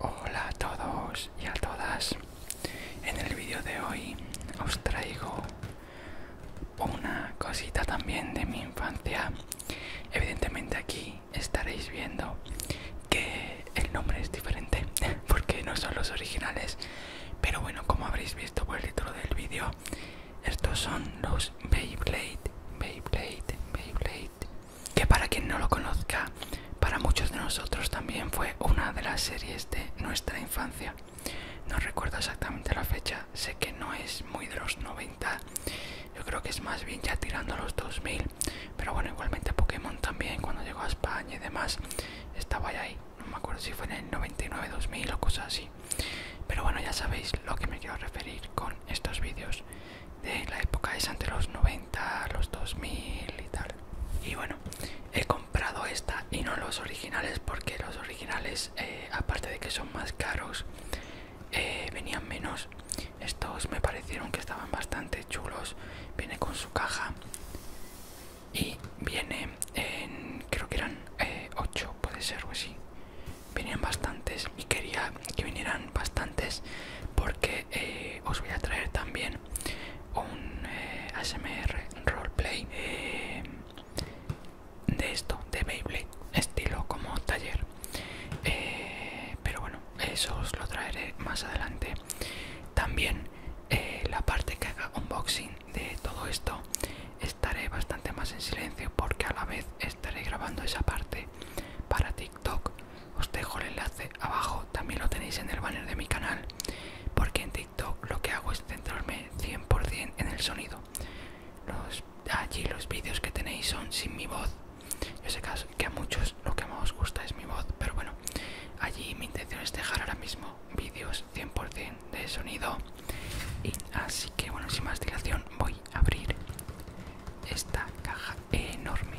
Hola a todos y a todas. En el vídeo de hoy os traigo una cosita también de mi infancia. Evidentemente aquí estaréis viendo que el nombre es diferente porque no son los originales. Pero bueno, como habréis visto por el título del vídeo, estos son los Beyblade, Beyblade, Beyblade, que para quien no lo conozca, para muchos de nosotros también fue una de las series de nuestra infancia. No recuerdo exactamente la fecha, sé que no es muy de los 90, yo creo que es más bien ya tirando a los 2000, pero bueno, igualmente Pokémon también cuando llegó a España y demás estaba ya ahí, no me acuerdo si fue en el 99, 2000 o cosas así. Pero bueno, ya sabéis lo que me quiero referir con estos vídeos de la época es entre los 90, los 2000 y tal. Y bueno, he comprado esta y no los originales porque los originales, eh, aparte de que son más caros, eh, venían menos. Estos me parecieron que estaban bastante chulos. Viene con su caja y viene en, creo que eran eh, ocho 8, puede ser o así. Venían bastantes y quería que vinieran bastantes porque eh, os voy a traer también un eh, ASMR roleplay eh, de esto, de Beyblade, estilo como taller. pero bueno, eso os lo traeré más adelante. También la parte que haga unboxing de todo esto estaré bastante más en silencio porque a la vez estaré grabando esa parte para TikTok os dejo el enlace abajo también lo tenéis en el banner de mi canal porque en tiktok lo que hago es centrarme 100% en el sonido allí los vídeos que tenéis son sin mi voz yo sé que a muchos lo que más os gusta es mi voz pero bueno allí mi intención es dejar ahora mismo vídeos 100% de sonido y así que bueno sin más dilación voy a abrir esta caja enorme.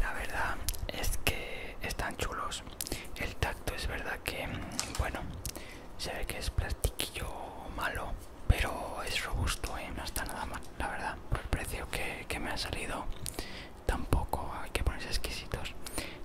La verdad es que están chulos. El tacto es verdad que, bueno, se ve que es plastiquillo malo, pero es robusto y ¿eh? no está nada mal, la verdad. Por el precio que, me ha salido, tampoco hay que ponerse exquisitos.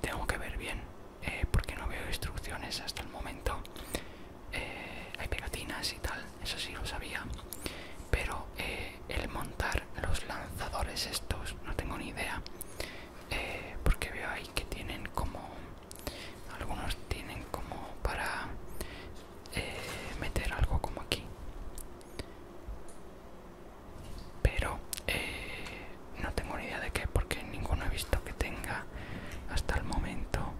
Tengo que ver bien, eh, porque no veo instrucciones hasta el momento. Eh, hay pegatinas y tal, eso sí lo sabía, pero el montar los lanzadores estos no tengo ni idea eh, porque veo ahí que tienen como algunos tienen como para eh, meter algo como aquí pero eh, no tengo ni idea de qué porque ninguno he visto que tenga hasta el momento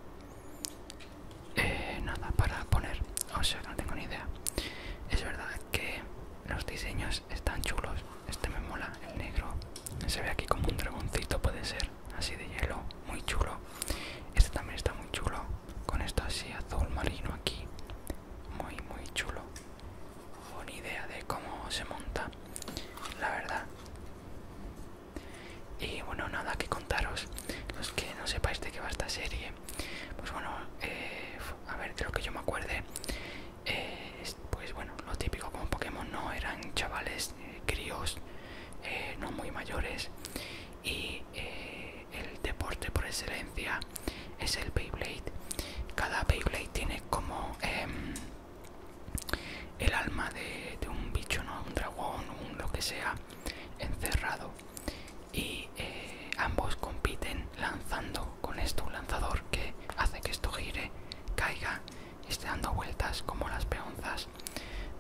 nada para poner o sea no tengo ni idea es verdad que los diseños están chulos. Este me mola, el negro. Se ve aquí como un dragoncito, puede ser. Así de hielo, muy chulo. Este también está muy chulo. Con esto así azul marino aquí. Muy, muy chulo. Buena idea de cómo se monta. La verdad. Y bueno, nada que contaros. Los que no sepáis de qué va esta serie. Pues bueno, eh, a ver, de lo que yo me acuerde, eh, pues bueno, lo típico como Pokémon, no eran chavales, eh, críos, eh, no muy mayores, y el deporte por excelencia es el Beyblade. Cada Beyblade tiene como em, el alma de, de un bicho, ¿no? un dragón, un lo que sea, encerrado y eh, ambos compiten lanzando con esto un lanzador que hace que esto gire, caiga y esté dando vueltas como las peonzas.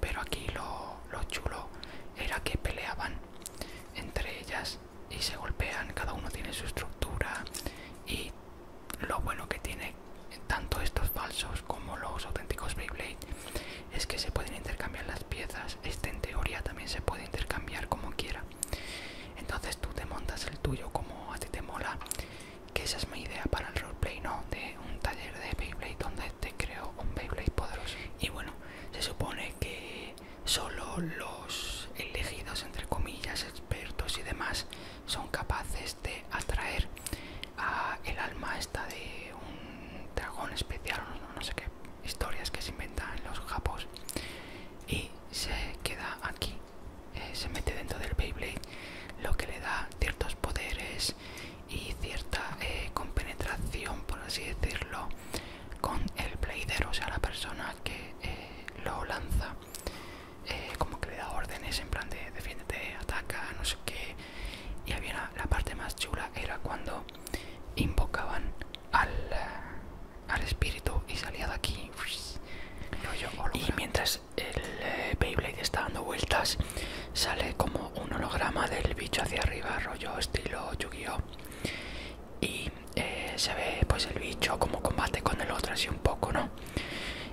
Pero aquí lo, lo chulo era que peleaban entre ellas y se golpean, cada uno tiene su estructura y lo bueno que tiene tanto estos falsos como los auténticos Beyblade es que se pueden intercambiar las piezas. Este en teoría también se puede intercambiar como quiera entonces tú te montas el tuyo como a ti te mola que esa es mi idea para el roleplay no de un taller de Beyblade donde te creo un Beyblade poderoso y bueno se supone que solo los elegidos entre comillas expertos y demás son capaces de atraer a el alma esta de un dragón especial o no sé qué historias que se inventan los japos y se queda aquí. Eh, se mete dentro del Beyblade, lo que le da ciertos poderes y cierta eh, compenetración, por así decirlo, con el Blader, o sea, la persona que eh, lo lanza. como que le da órdenes en plan de defiéndete, ataca, no sé qué. Y había la parte más chula era cuando invocaban al, al espíritu y salía de aquí. y mientras el eh, Beyblade está dando vueltas, sale como un holograma del bicho hacia arriba, rollo estilo yu Y eh, se ve pues el bicho como combate con el otro así un poco, ¿no?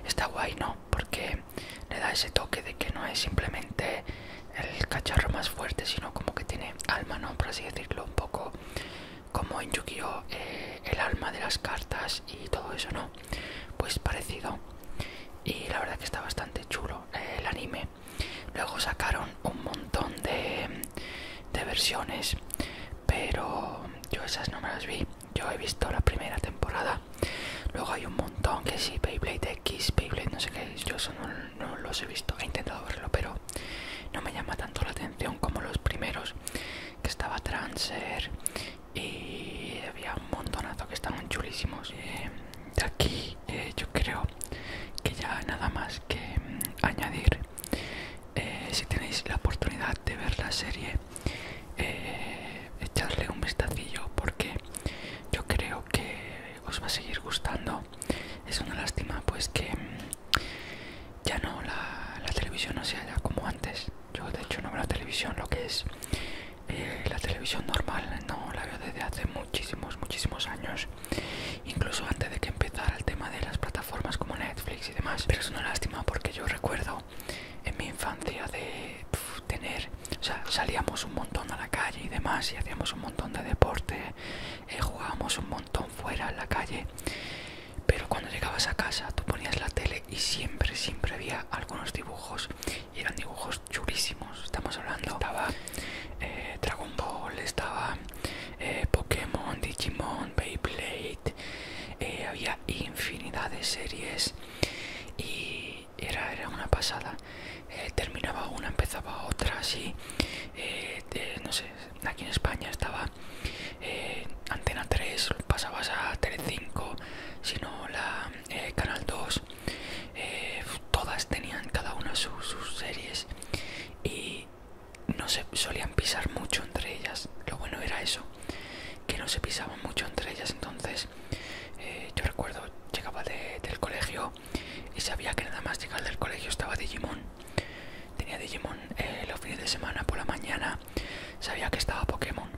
Está guay, ¿no? Porque le da ese toque de que no es simplemente el cacharro más fuerte, sino como que tiene alma, ¿no? Por así decirlo, un poco como en yu eh, el alma de las cartas y todo eso, ¿no? Pues parecido. Y la verdad que está bastante chulo eh, el anime. Luego sacaron un montón de, versiones, pero yo esas no me las vi. Yo he visto la primera temporada. Luego hay un montón que sí, Beyblade X, Beyblade no sé qué, yo son un no los he visto, he intentado verlo, pero no me llama tanto la atención como los primeros, que estaba Transer y había un montonazo que estaban chulísimos. Eh, de aquí eh, yo creo que ya nada más que mm, añadir, eh, si tenéis la oportunidad de ver la serie, echarle un vistacillo porque yo creo que os va a seguir gustando. Es una lástima pues que... Mm, ya no la, televisión no se halla como antes yo de hecho no veo la televisión lo que es eh, la televisión normal no la veo desde hace muchísimos muchísimos años incluso antes de que empezara el tema de las plataformas como Netflix y demás pero es una lástima porque yo recuerdo en mi infancia de tener o sea salíamos un montón a la calle y demás y hacíamos un montón de deporte y eh, jugábamos un montón fuera a la calle pero cuando llegabas a casa tú ponías la tele y siempre siempre había algunos dibujos y eran dibujos chulísimos estamos hablando estaba eh, Dragon Ball estaba eh, Pokémon Digimon Beyblade eh, había infinidad de series y era, era una pasada terminaba una empezaba otra así no sé aquí en España estaba eh, Antena 3, pasabas a Tele 5, sino la eh, Canal 2, eh, todas tenían cada una sus series y no se solían pisar mucho entre ellas. Lo bueno era eso, que no se pisaban mucho entre ellas. Entonces, yo recuerdo, llegaba del colegio y sabía que nada más llegar del colegio estaba Digimon Tenía Digimon eh, los fines de semana por la mañana, sabía que estaba Pokémon.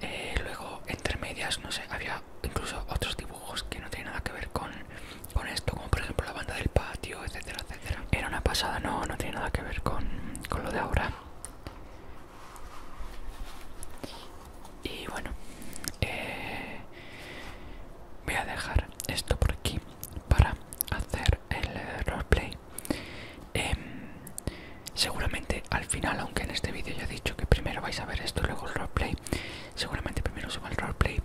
Eh, luego, entre medias, no sé, había incluso otros dibujos que no tenían nada que ver con, esto, como por ejemplo la banda del patio, etcétera, etcétera. Era una pasada, no, no tiene nada que ver con, lo de ahora. Y bueno, eh, voy a dejar esto por aquí para hacer el roleplay em, seguramente al final aunque en este vídeo ya he dicho que primero vais a ver esto luego el roleplay seguramente primero suba el roleplay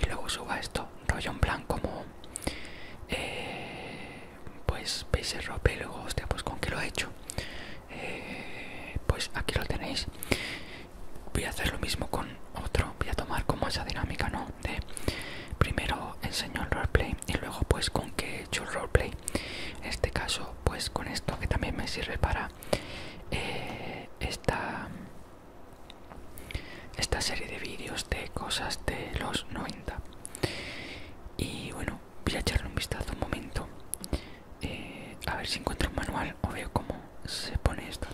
y luego suba esto rollo en blanco. como eh, pues veis el roleplay luego hostia pues con que lo he hecho eh, pues aquí lo tenéis voy a hacer lo mismo con otro voy a tomar como esa dinámica no de primero enseño el roleplay y luego pues con qué he hecho el roleplay en este caso pues con esto que también me sirve para eh, esta esta serie de vídeos de cosas de los 90 y bueno voy a echarle un vistazo un momento eh, a ver si encuentro un manual o veo cómo se pone esto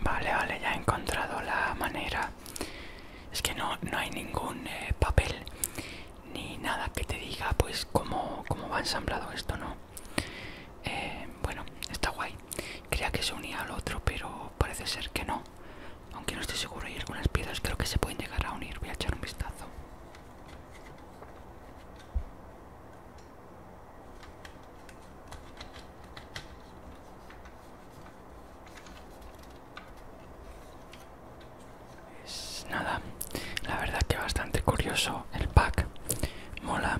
Vale, vale, ya he encontrado la manera. Es que no, hay ningún eh, papel ni nada que te diga pues cómo, va ensamblado esto, ¿no? Eh, bueno, está guay. Creía que se unía al otro, pero parece ser que no. Aunque no estoy seguro, hay algunas piezas creo que se pueden llegar a unir. Voy a echar un vistazo es pues nada, la verdad que bastante curioso el pack. Mola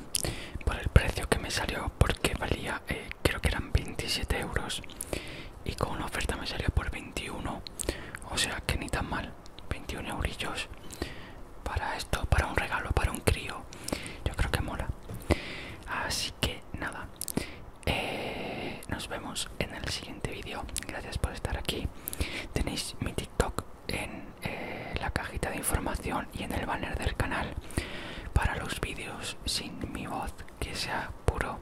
por el precio que me salió porque valía, eh, creo que eran 27 euros y con una oferta me salió por 21. O sea que ni tan mal, 21 eurillos para esto, para un regalo, para un crío. Yo creo que mola. Así que nada, eh, nos vemos en el siguiente vídeo. Gracias por estar aquí. Tenéis mi TikTok en eh, la cajita de información y en el banner del canal para los vídeos sin mi voz que sea puro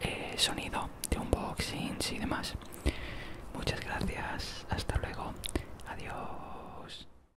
eh, sonido de unboxings y demás. Muchas gracias, hasta luego, adiós.